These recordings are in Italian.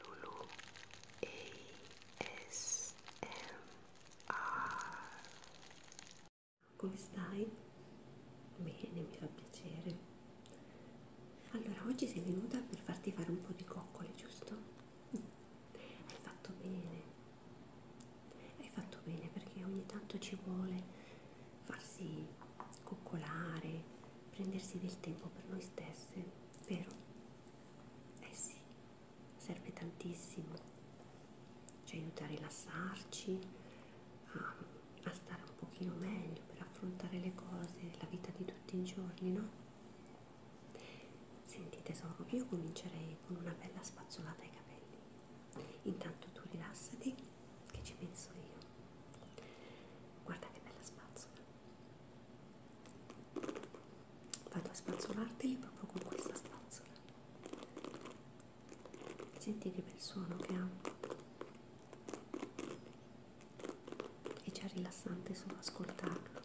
Lulu ASMR Come stai? Bene, mi fa piacere. Allora, oggi sei venuta per farti fare un po' di coccole, giusto? Mm. Hai fatto bene. Hai fatto bene perché ogni tanto ci vuole farsi coccolare prendersi del tempo per noi stesse, vero? Eh sì, serve tantissimo, ci aiuta a rilassarci, a, a stare un pochino meglio per affrontare le cose, la vita di tutti i giorni, no? Senti tesoro, io comincerei con una bella spazzolata ai capelli. Intanto tu rilassati che ci penso io. Guarda che bella spazzola vado a spazzolarteli proprio con questa spazzola senti che bel suono che ha è già rilassante solo ascoltarlo bene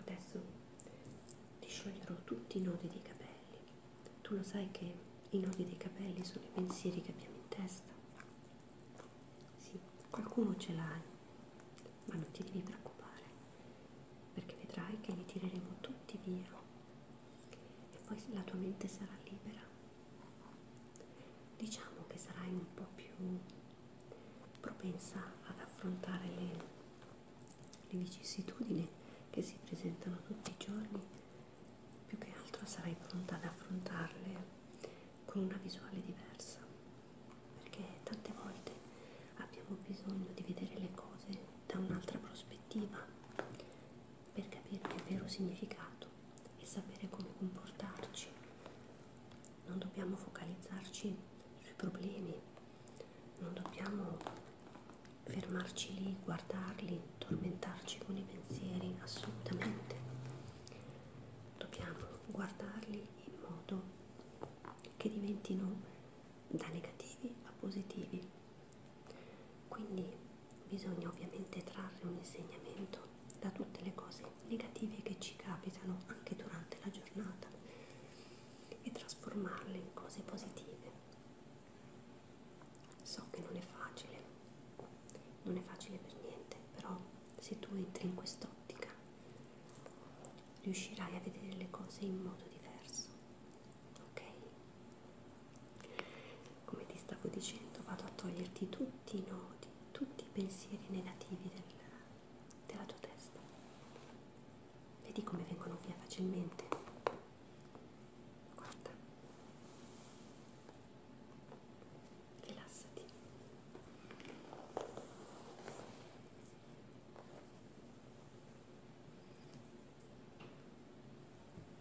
Adesso ti scioglierò tutti i nodi dei capelli. Tu lo sai che i nodi dei capelli sono i pensieri che abbiamo in testa. Sì, qualcuno ce l'hai, ma non ti devi preoccupare perché vedrai che li tireremo tutti via e poi la tua mente sarà libera diciamo che sarai un po' più propensa ad affrontare le, le vicissitudini che si presentano tutti i giorni, più che altro sarai pronta ad affrontarle con una visuale diversa, perché tante volte abbiamo bisogno di vedere le cose da un'altra prospettiva per capirne il vero significato e sapere come comportarci. Non dobbiamo focalizzarci sui problemi, non dobbiamo fermarci lì, guardarli, tormentarci con i pensieri, assolutamente. Dobbiamo guardarli in modo che diventino da negativi a positivi quindi bisogna ovviamente trarre un insegnamento da tutte le cose negative che ci capitano anche durante la giornata e trasformarle in cose positive. So che non è facile, non è facile per niente, però se tu entri in quest'ottica riuscirai a vedere le cose in modo diverso, ok? come ti stavo dicendo vado a toglierti tutti i nodi tutti i pensieri negativi del, della tua testa vedi come vengono via facilmente guarda rilassati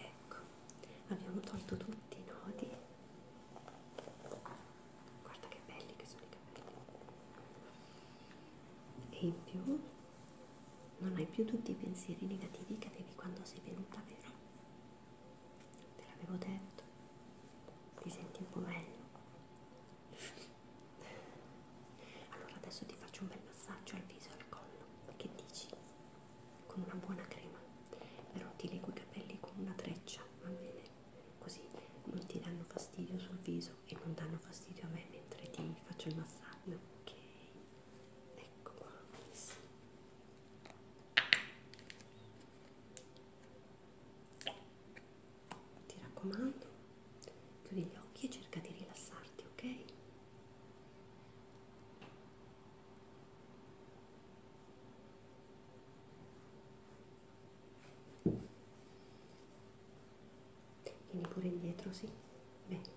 Ecco, abbiamo tolto tutti i nodi. Guarda che belli che sono i capelli. E in più non hai più tutti i pensieri negativi che avevi quando sei venuta, vero? Te l'avevo detto, ti senti un po' meglio. Allora adesso ti faccio un bel massaggio al viso e al collo, che dici? Con una buona crema, però ti leggo i capelli con una treccia, va bene? Così non ti danno fastidio sul viso e non danno fastidio a me mentre ti faccio il massaggio, ok? ecco qua sì. ti raccomando chiudi gli occhi e cerca di rilassarti ok Vieni pure indietro, sì? Bene.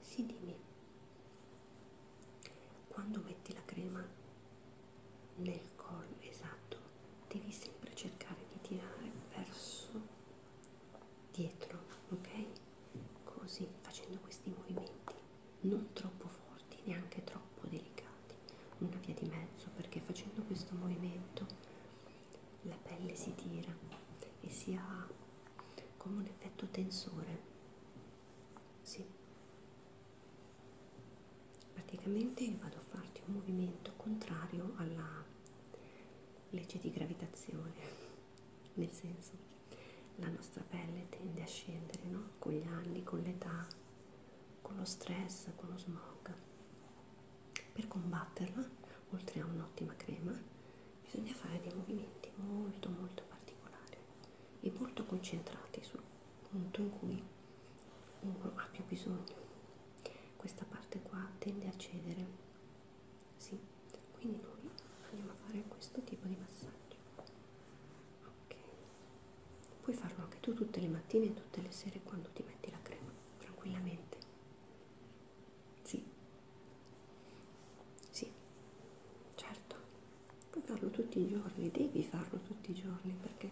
Sì, dimmi, quando metti la crema nel collo esatto, devi sempre cercare di tirare verso dietro, ok? Così, facendo questi movimenti non troppo forti, neanche troppo delicati, una via di mezzo perché facendo questo movimento la pelle si tira e si ha come un effetto tensore sì. praticamente vado a farti un movimento contrario alla legge di gravitazione nel senso la nostra pelle tende a scendere no? con gli anni, con l'età con lo stress, con lo smog per combatterla, oltre a un'ottima crema, bisogna fare dei movimenti molto molto particolari e molto concentrati sul punto in cui uno ha più bisogno. Questa parte qua tende a cedere, sì, quindi noi andiamo a fare questo tipo di massaggio. Ok, puoi farlo anche tu tutte le mattine e tutte le sere quando ti metti la crema, tranquillamente sì, sì, certo, puoi farlo tutti i giorni, devi farlo tutti i giorni perché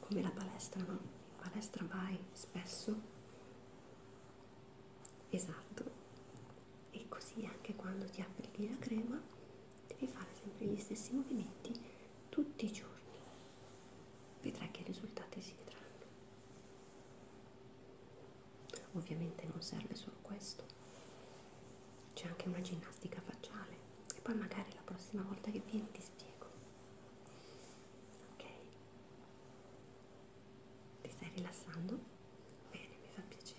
come la palestra, no? In palestra vai spesso, esatto, e così anche quando ti applichi la crema devi fare sempre gli stessi movimenti tutti i giorni vedrai che i risultati si vedranno. Ovviamente non serve solo questo, c'è anche una ginnastica facciale e poi magari la prossima volta che vieni ti spiego. Ok? Ti stai rilassando? Bene, mi fa piacere.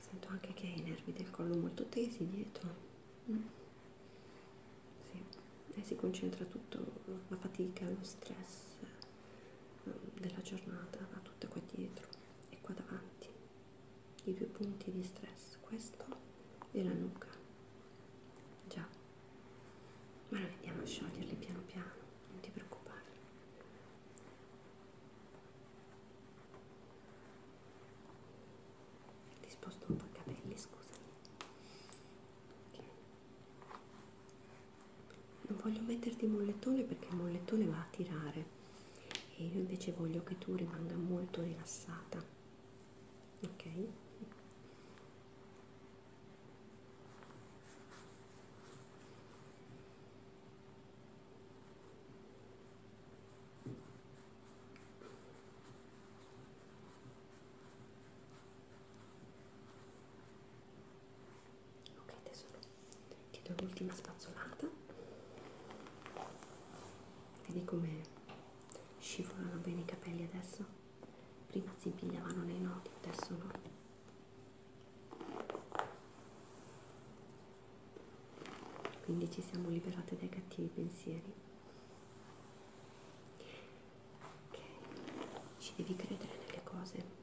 Sento anche che hai i nervi del collo molto tesi dietro. Mm. Sì. E eh, si concentra tutto, la fatica, lo stress mm, della giornata, va tutto qua dietro e qua davanti i due punti di stress questo e la nuca già ma noi andiamo a scioglierli piano piano non ti preoccupare ti sposto un po' i capelli scusami ok non voglio metterti il mollettone perché il mollettone va a tirare e io invece voglio che tu rimanga molto rilassata ok ok tesoro ti do l'ultima spazzolata vedi come scivolano bene i capelli adesso prima si impigliavano nei nodi adesso no quindi ci siamo liberate dai cattivi pensieri ok ci devi credere nelle cose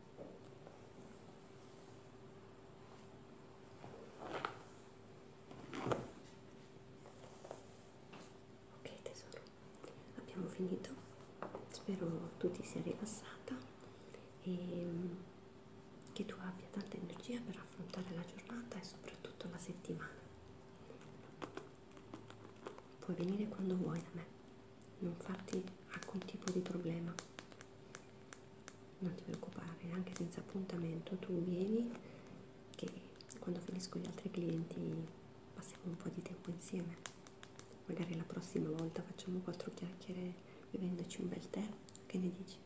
Ok tesoro, abbiamo finito, spero tu ti sia rilassata e mm, che tu abbia tanta energia per affrontare la giornata e soprattutto la settimana. Puoi venire quando vuoi da me, non farti alcun tipo di problema non ti preoccupare anche senza appuntamento tu vieni che quando finisco gli altri clienti passiamo un po' di tempo insieme magari la prossima volta facciamo quattro chiacchiere bevendoci un bel tè che ne dici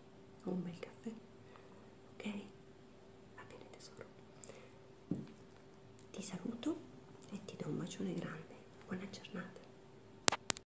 o un bel caffè ok va bene tesoro ti saluto e ti do un bacione grande buona giornata